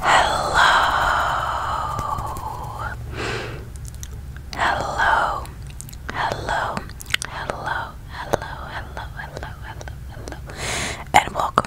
Hello. Hello. Hello. Hello. Hello. Hello. Hello. Hello. Hello. And welcome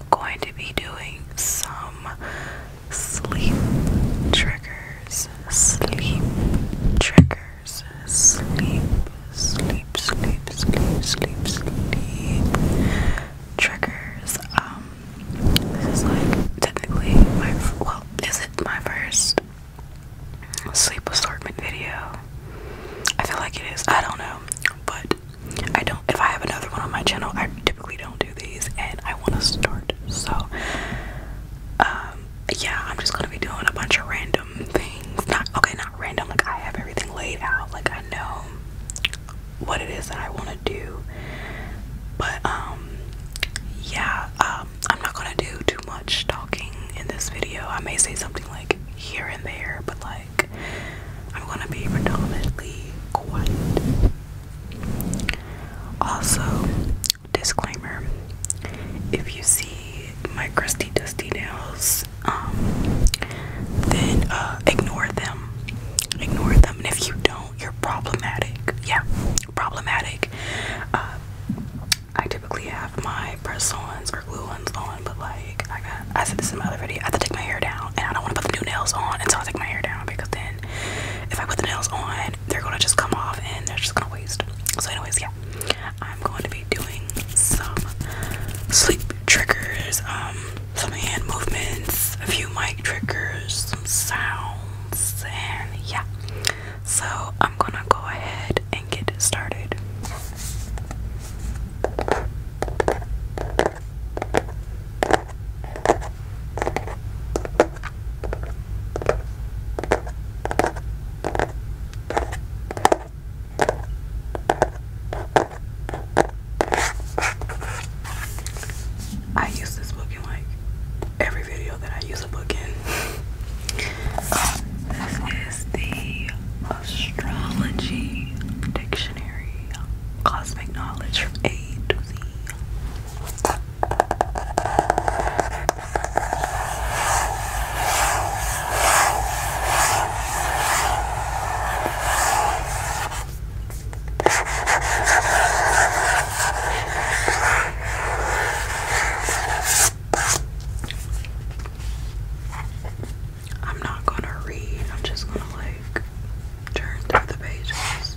am going to be doing some sleep triggers, sleep triggers, sleep, sleep, sleep, sleep, sleep, sleep triggers. Um, this is like technically my well, is it my first sleep assortment video? I feel like it is. I don't know, but I don't if I have another one on my channel, I typically don't do these and I want to start. So um yeah, I'm just going to be doing a bunch of random things. Not okay, not random. Like I have everything laid out. Like I know what it is that I want to do. But um yeah, um I'm not going to do too much talking in this video. I may say something like here and there, but like I'm gonna be predominantly white. Also, disclaimer if you see my crusty dusty nails, um, then uh, ignore them. Ignore them, and if you don't, you're problematic. Yeah, problematic. Uh, I typically have my press ons or glue ons on, but like I got I said this in my other video. I have to take my hair down, and I don't want to put the new nails on until I take my hair down because then if I put the nails on, they're gonna just come off and they're just gonna waste. So, anyways, yeah, I'm going to be doing some sleep triggers, um, some hand movements, a few mic triggers, some sounds, and yeah. So, I'm gonna go ahead and get started. I use this book in like every video that I use a book in. Um, this is the astrology prediction. Um, cosmic knowledge from A to Z. I'm not gonna read, I'm just gonna like turn through the pages.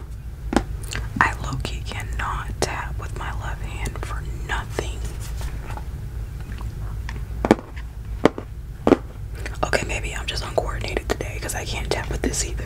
I low cannot tap with my left hand for nothing. Okay, maybe I'm just uncoordinated today because I can't tap with this either.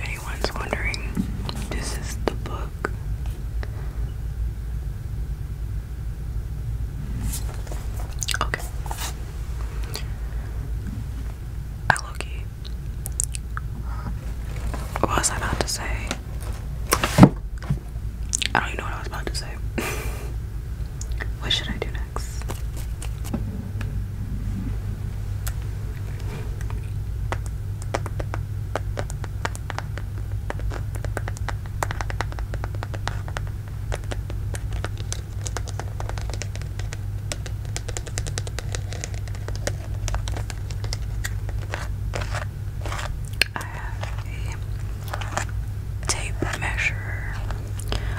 anyone's wondering, this is the book. Okay. I What was I about to say? I don't even know what I was about to say. what should I do next? I have a tape measure,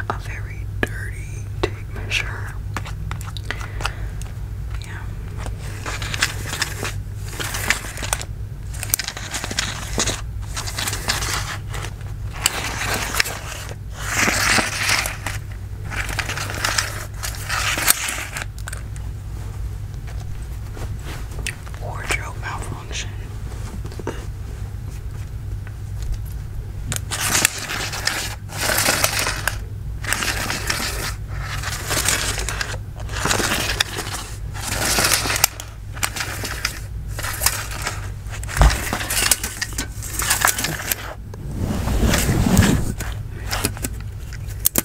a very dirty tape measure. Yeah wardrobe malfunction.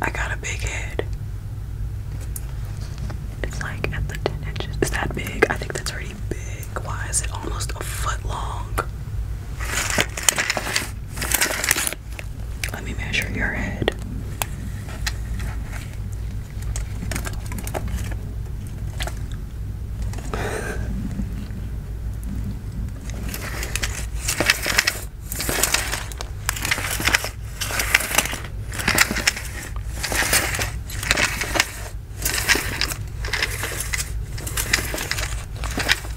I got a big head. It's like at the 10 inches. Is that big? I think that's already big. Why is it almost a foot long? Let me measure your head.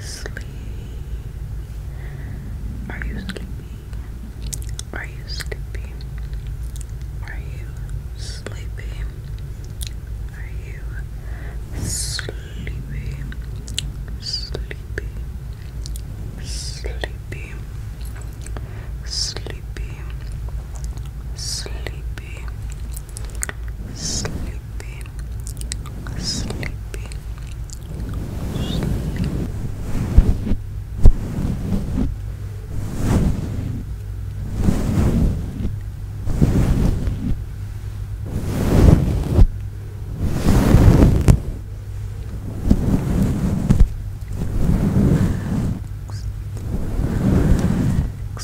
Sleep. Are you sleepy? Are you sleepy? Are you sleepy? Are you sleepy? Sleepy. Sleepy. Sleepy. Sleepy. Sleepy sleepy, sleepy, sleepy. Relax,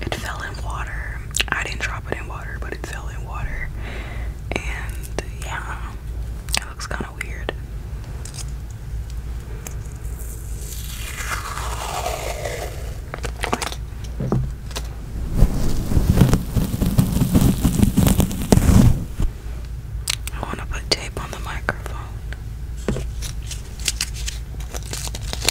It fell in water. I didn't drop it in water, but it fell in water. And yeah, it looks kind of weird. I want to put tape on the microphone.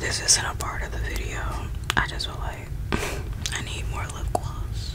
This isn't a part of the video. I just feel like I need more lip gloss.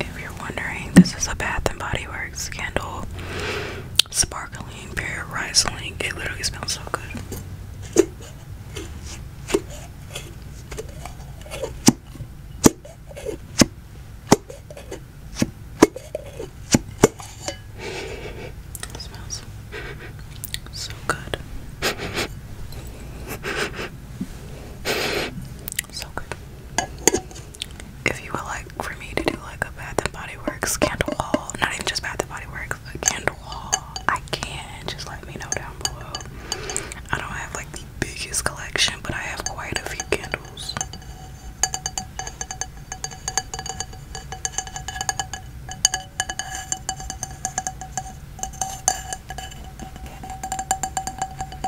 If you're wondering, this is a Bath and Body Works candle. Sparkling Pararisling. It literally smells so good. smells so good. So good if you would like for me to do like a Bath and Body Works candle haul, not even just Bath and Body Works, a candle haul, I can. Just let me know down below. I don't have like the biggest collection, but I have quite a few candles.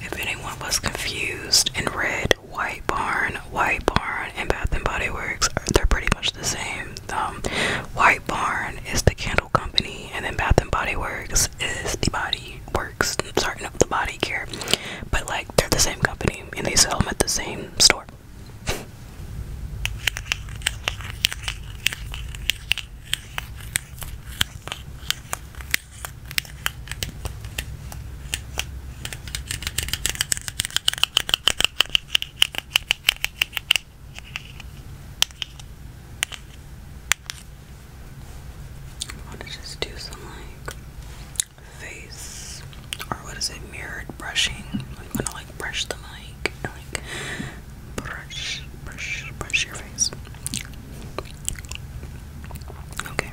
If anyone was confused and read White Barn, White Barn, and Bath and Body Works, they're pretty much the same. Um, White Barn is the candle company, and then Bath and Body Works is the body work starting up the body care but like they're the same company and they sell them at the same store I want to just do some like face or what is it mirrored brushing I'm gonna like brush the mic like brush brush brush your face Okay.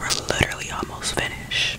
We're literally almost finished.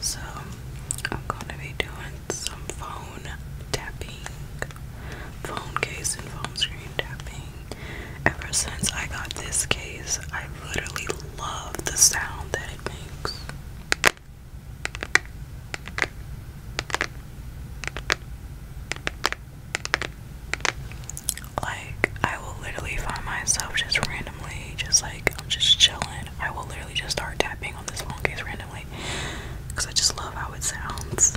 So, I'm going to be doing some phone tapping, phone case, and phone screen tapping. Ever since I got this case, I literally love the sound that it makes. Like, I will literally find myself just randomly, just like, I'm just chilling. I will literally just start tapping on this phone case randomly because I just love how it sounds.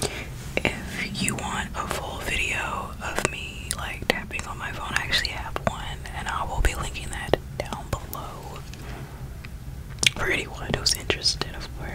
Okay. If you want a full video of me like tapping on my phone, I actually have one and I will be linking that down below for anyone who's interested, of course.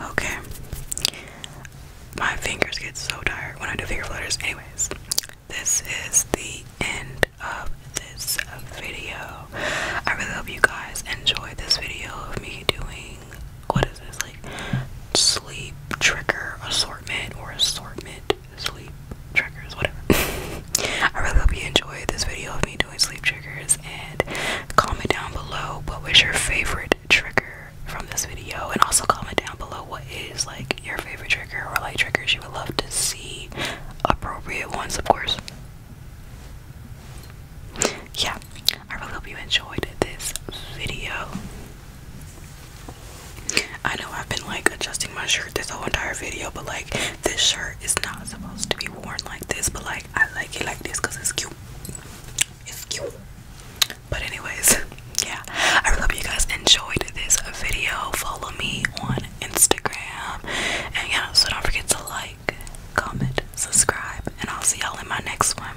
Okay. My fingers get so tired when I do finger flutters. Anyways, this is the end of this video. I really hope you guys enjoyed this video of me doing what is this like sleep trigger assortment or assortment sleep triggers, whatever. I really hope you enjoyed this video of me doing sleep triggers and comment down below what was your favorite trigger from this video and also comment down below what is like your favorite trigger or like triggers you would love to see appropriate ones of course. Yeah, I really hope you enjoyed this video. I know I've been like adjusting my shirt this whole entire video, but like this shirt is not supposed to be worn like this, but like I like it like this because it's cute. It's cute. But anyways, yeah. I really hope you guys enjoyed this video. Follow me on Instagram. And yeah, so don't forget to like, comment, subscribe, and I'll see y'all in my next one.